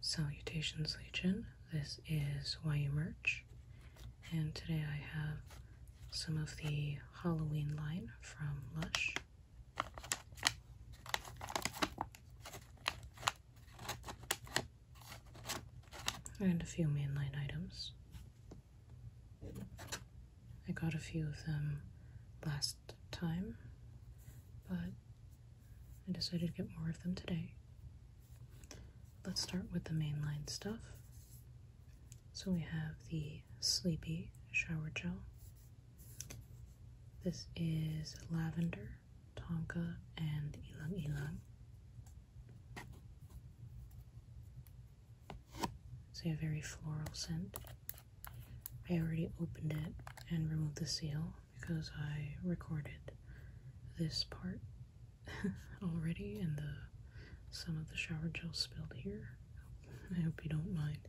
Salutations, Legion. This is YU Merch, and today I have some of the Halloween line from Lush. And a few mainline items. I got a few of them last time, but I decided to get more of them today. Let's start with the mainline stuff. So we have the Sleepy Shower Gel. This is Lavender, Tonka, and Ilang Ilang. It's a very floral scent. I already opened it and removed the seal because I recorded this part already and some of the shower gel spilled here. I hope you don't mind.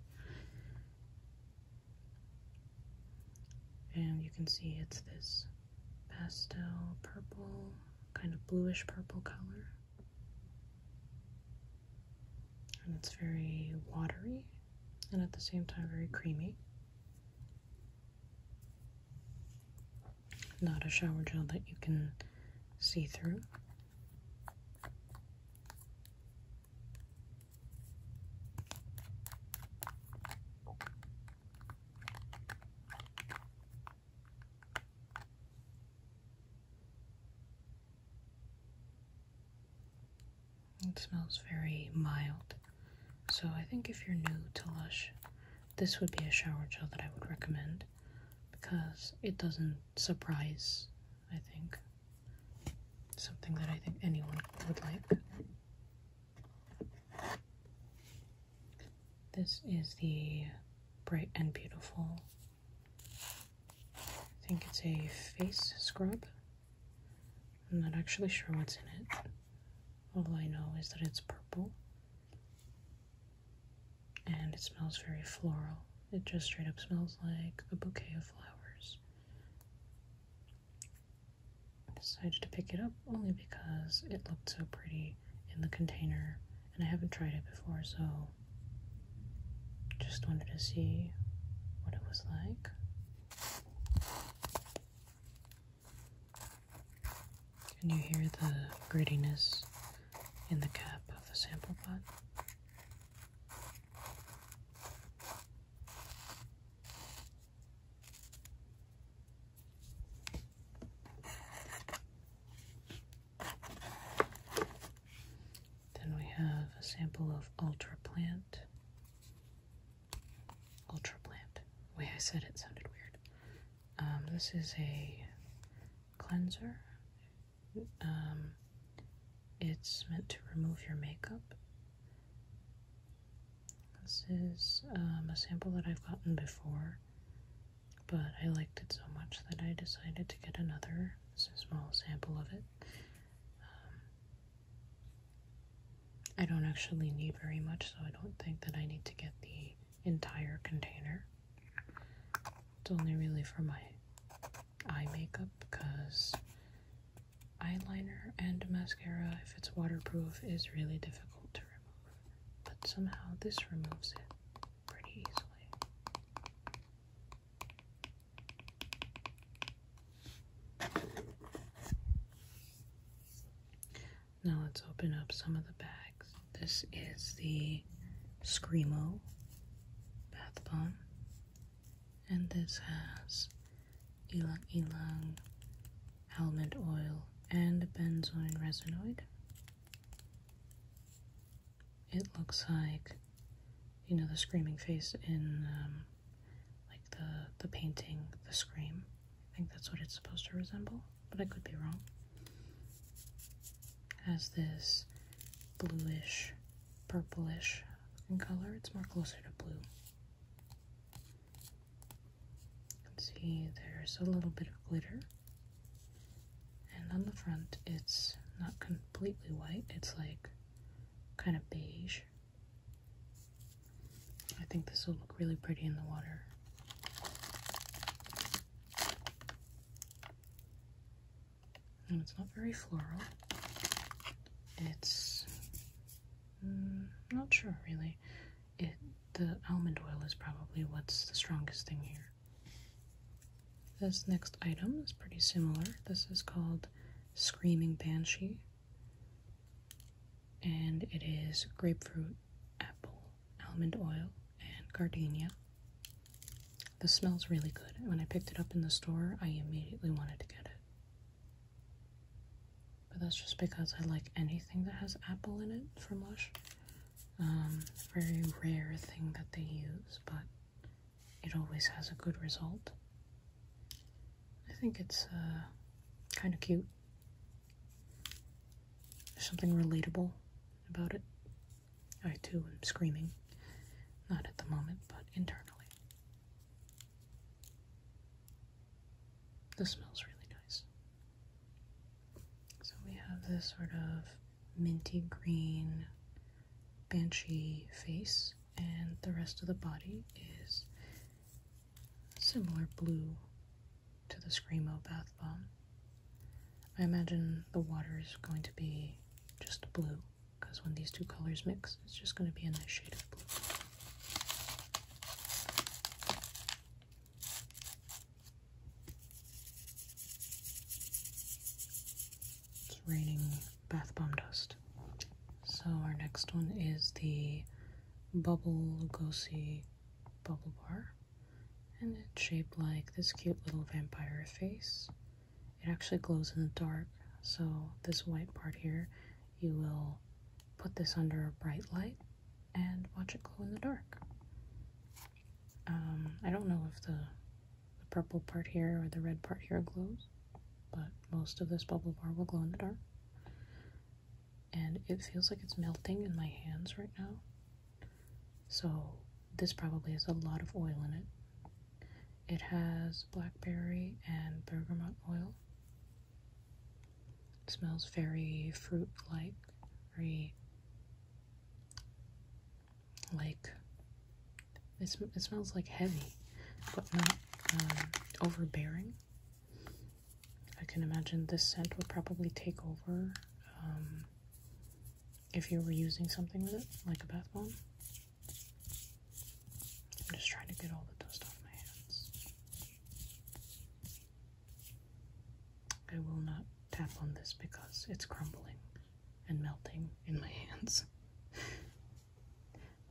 And you can see it's this pastel purple, kind of bluish purple color and it's very watery and at the same time very creamy. Not a shower gel that you can see through. It smells very mild. So I think if you're new to Lush, this would be a shower gel that I would recommend because it doesn't surprise, I think. Something that I think anyone would like. This is the Bright and Beautiful I think it's a face scrub. I'm not actually sure what's in it. All I know is that it's purple and it smells very floral. It just straight up smells like a bouquet of flowers. I decided to pick it up only because it looked so pretty in the container and I haven't tried it before, so just wanted to see what it was like. Can you hear the grittiness in the cap of the sample pot? Then we have a sample of Ultra Plant. Ultra Plant. way I said it sounded weird. Um, this is a cleanser. Um, it's meant to remove your makeup. This is um, a sample that I've gotten before but I liked it so much that I decided to get another. small sample of it. Um, I don't actually need very much, so I don't think that I need to get the entire container. It's only really for my eye makeup because eyeliner and mascara, if it's waterproof, is really difficult to remove. But somehow this removes it pretty easily. Now let's open up some of the bags. This is the Screamo bath bomb, and this has ylang ylang, almond oil, and benzoin resinoid. It looks like, you know, the screaming face in um, like the the painting, the scream. I think that's what it's supposed to resemble, but I could be wrong. It has this bluish, purplish in color. It's more closer to blue. You can see there's a little bit of glitter and on the front, it's not completely white, it's like kind of beige. I think this will look really pretty in the water. And it's not very floral. It's mm, not sure really it the almond oil is probably what's the strongest thing here. This next item is pretty similar. This is called Screaming Banshee, and it is grapefruit, apple, almond oil, and gardenia. This smells really good. When I picked it up in the store, I immediately wanted to get it. But that's just because I like anything that has apple in it from Lush. Um, very rare thing that they use, but it always has a good result. I think it's uh, kind of cute. There's something relatable about it. I too am screaming. Not at the moment, but internally. This smells really nice. So we have this sort of minty green banshee face, and the rest of the body is similar blue to the Screamo bath bomb. I imagine the water is going to be just blue, because when these two colors mix, it's just going to be a nice shade of blue. It's raining bath bomb dust. So our next one is the Bubble Lugosi Bubble Bar. And it's shaped like this cute little vampire face. It actually glows in the dark. So this white part here, you will put this under a bright light and watch it glow in the dark. Um, I don't know if the purple part here or the red part here glows, but most of this bubble bar will glow in the dark. And it feels like it's melting in my hands right now. So this probably has a lot of oil in it. It has blackberry and bergamot oil it smells very fruit like, very like it, smells like heavy, but not um, overbearing. I can imagine this scent would probably take over um, if you were using something with it, like a bath bomb. I'm just trying to get all the dust off my hands. I will not tap on this because it's crumbling and melting in my hands.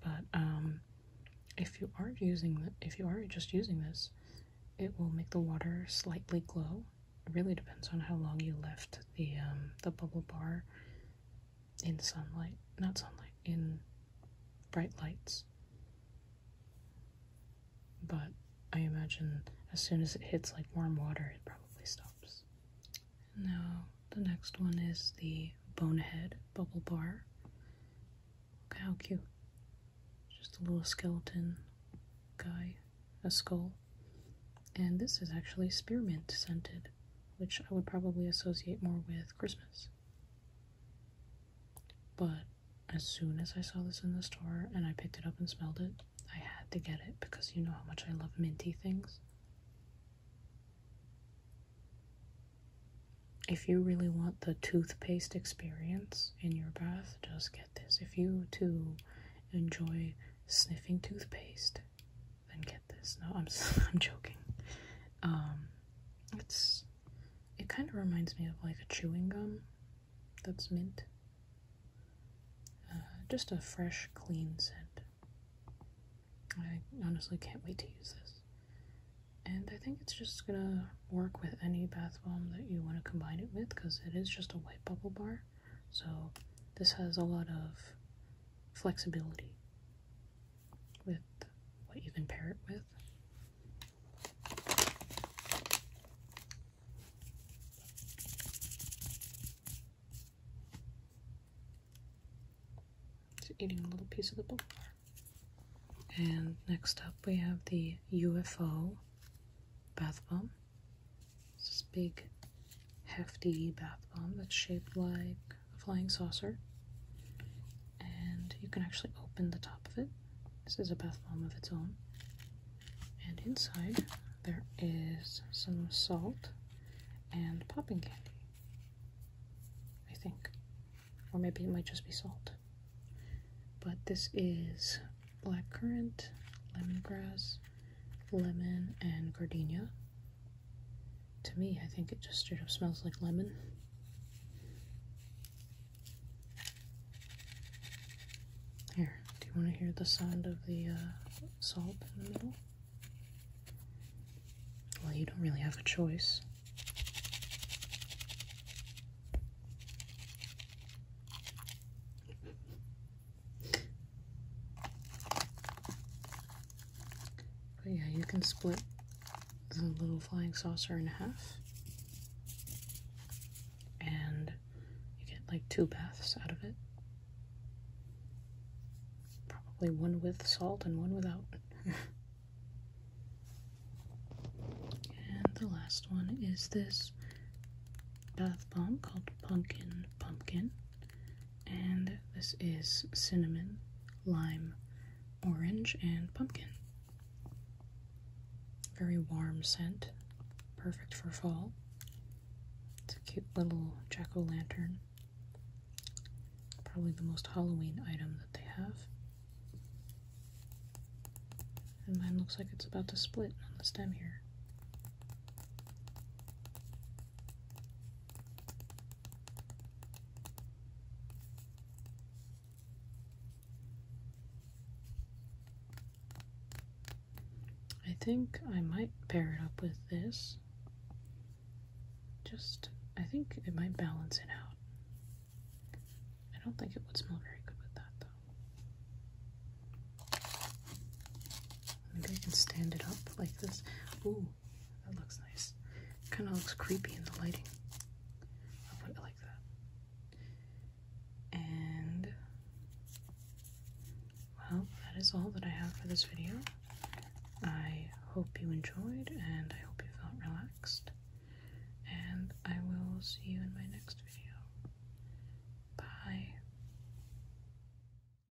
but um, if you are using the, if you are just using this, it will make the water slightly glow. really depends on how long you left the um, the bubble bar in sunlight, not sunlight, in bright lights. But I imagine as soon as it hits like warm water, it probably stops. Now, the next one is the Bonehead Bubble Bar. Look how cute. Just a little skeleton guy, a skull. And this is actually spearmint scented, which I would probably associate more with Christmas. But as soon as I saw this in the store and I picked it up and smelled it, I had to get it because you know how much I love minty things. If you really want the toothpaste experience in your bath, just get this. If you too enjoy sniffing toothpaste, then get this. No, I'm I'm joking. Um, it's it kind of reminds me of like a chewing gum that's mint. Uh, just a fresh, clean scent. I honestly can't wait to use this. And I think it's just gonna work with any bath bomb that you want to combine it with because it is just a white bubble bar. So this has a lot of flexibility with what you can pair it with. Just eating a little piece of the book. And next up we have the UFO bath bomb. this big hefty bath bomb that's shaped like a flying saucer. And you can actually open the top of it. This is a bath bomb of its own. And inside there is some salt and popping candy, I think. Or maybe it might just be salt. But this is black currant, lemongrass, lemon, and gardenia to me, I think it just straight up smells like lemon. Here, do you want to hear the sound of the uh, salt in the middle? Well, you don't really have a choice. But yeah, you can split the little flying saucer in half. And you get like two baths out of it. Probably one with salt and one without. and the last one is this bath bomb called Pumpkin Pumpkin. And this is cinnamon, lime, orange, and pumpkin. Very warm scent, perfect for fall. It's a cute little jack o' lantern. Probably the most Halloween item that they have. And mine looks like it's about to split on the stem here. I think I might pair it up with this. Just, I think it might balance it out. I don't think it would smell very good with that though. Maybe I can stand it up like this. Ooh, that looks nice. Kind of looks creepy in the lighting. I'll put it like that. And well, that is all that I have for this video. I hope you enjoyed and I hope you felt relaxed. And I will see you in my next video. Bye.